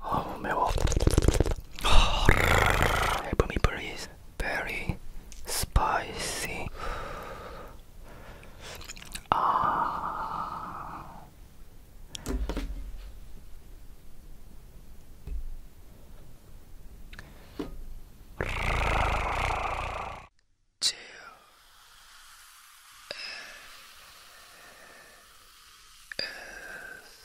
어우 매워 Help me please Very spicy 아... Ah. S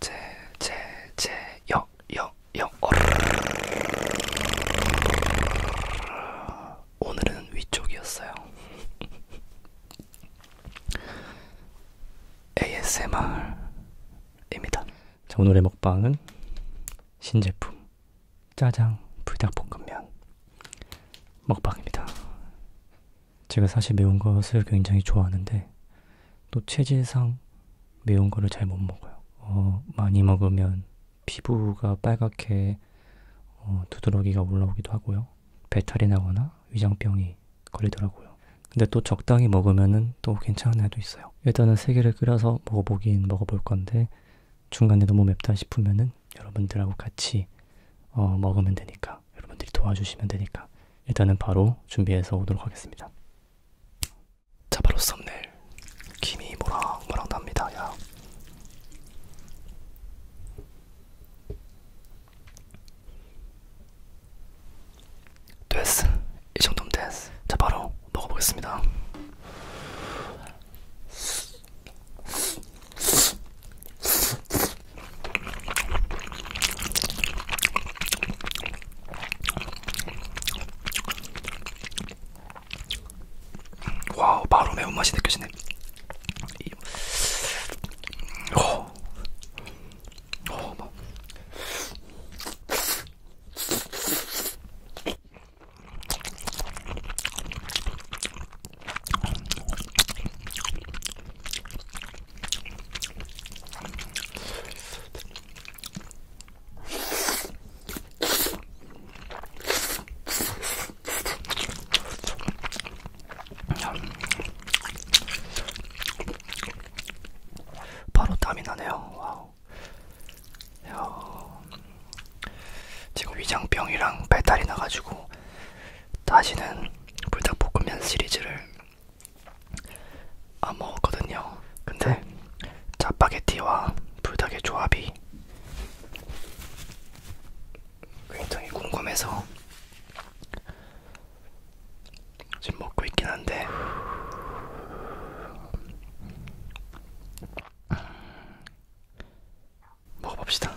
제제제역역역 오늘은 위쪽이었어요. ASMR입니다. 자, 오늘의 먹방은 신제품 짜장 불닭볶음면 먹방입니다. 제가 사실 매운 것을 굉장히 좋아하는데 또 체질상 매운 거를 잘 못 먹어요. 어, 많이 먹으면 피부가 빨갛게 어, 두드러기가 올라오기도 하고요. 배탈이 나거나 위장병이 걸리더라고요. 근데 또 적당히 먹으면은 또 괜찮은 애도 있어요. 일단은 세 개를 끓여서 먹어보긴 먹어볼 건데 중간에 너무 맵다 싶으면은 여러분들하고 같이 어, 먹으면 되니까. 테니까 여러분들이 도와주시면 되니까 일단은 바로 준비해서 오도록 하겠습니다. 자 바로 썸네일 김이 뭐랑 뭐랑 납니다. 야. 됐어. 이 정도면 됐어. 자 바로 먹어보겠습니다. 와우 바로 매운맛이 느껴지네 어. 어, 막. 바로 땀이 나네요. 와우. 야. 지금 위장병이랑 배탈이 나가지고 다시는 불닭볶음면 시리즈를 안 먹었거든요. 근데 짜파게티와 불닭의 조합이 굉장히 궁금해서 지금 먹고 있긴 한데 음, 먹어봅시다.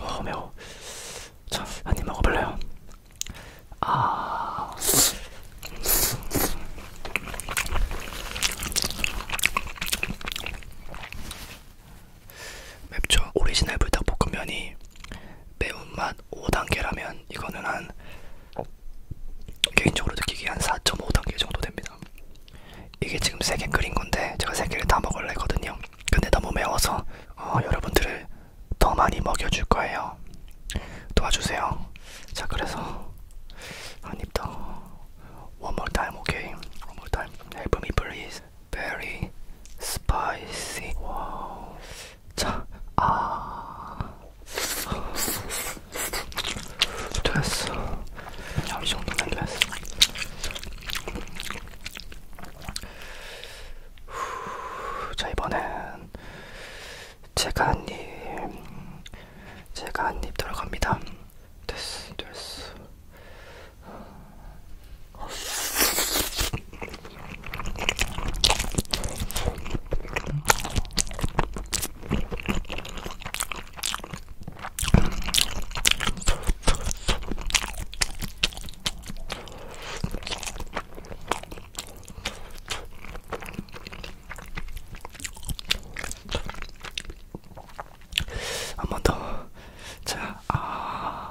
어 매워. 자, 한입 먹어볼래요? 아. 맵죠? 오리지널 불닭볶음면이 매운맛 5단계라면 이거는 한 개인적으로 느끼기에 한 4.5단계 정도 됩니다. 이게 지금 3개 끓인 건데 제가 3개를 다 먹으려 했거든요. 근데 너무 매워서 어, 여러분들을 더 많이 먹여줄 거예요. 도와주세요. 자 그래서 한입 더. One more time, okay? One more time. Help me, please. Very spicy. Wow. 자, 아, 됐어. 이 정도면 됐어. 후, 자 이번엔 제가 한입, 제가 한입 들어갑니다. 됐어, 됐어. 한번 더. 자, 아.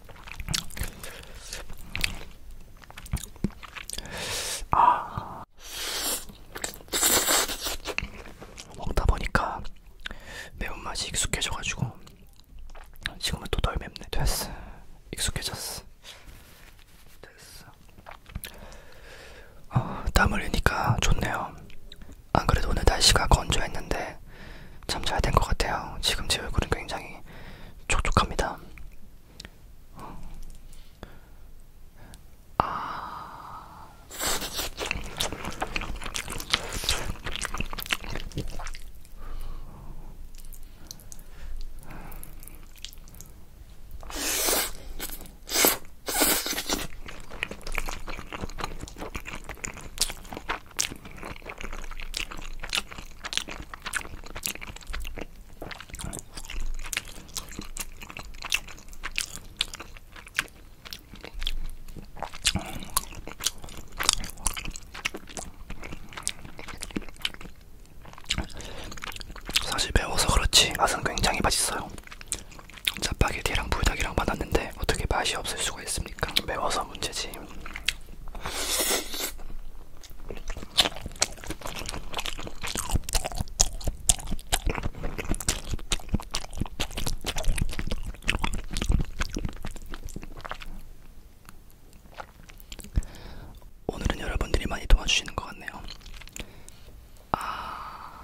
아 먹다 보니까 매운맛이 익숙해져가지고 지금은 또 덜 맵네 됐어 익숙해졌어 됐어 어, 땀 흘리니까 좋네요 안그래도 오늘 날씨가 건조했는데 잠자야 될것 같아요. 지금 제 얼굴은 굉장히 촉촉합니다. 어. 아... 사실 매워서 그렇지 맛은 굉장히 맛있어요. 짜파게티랑 불닭이랑 받았는데 어떻게 맛이 없을 수가 있습니까? 매워서 문제지. 오늘은 여러분들이 많이 도와주시는 것 같네요. 아...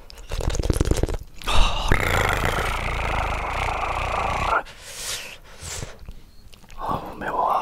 아우 매워.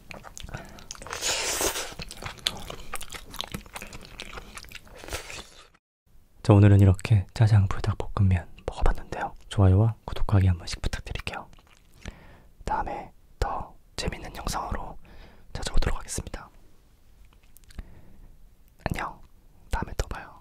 자 오늘은 이렇게 짜장 불닭볶음면 먹어봤는데요. 좋아요와 구독하기 한 번씩 부탁드릴게요. 다음에 더 재밌는 영상으로 찾아오도록 하겠습니다. 안녕. 다음에 또 봐요.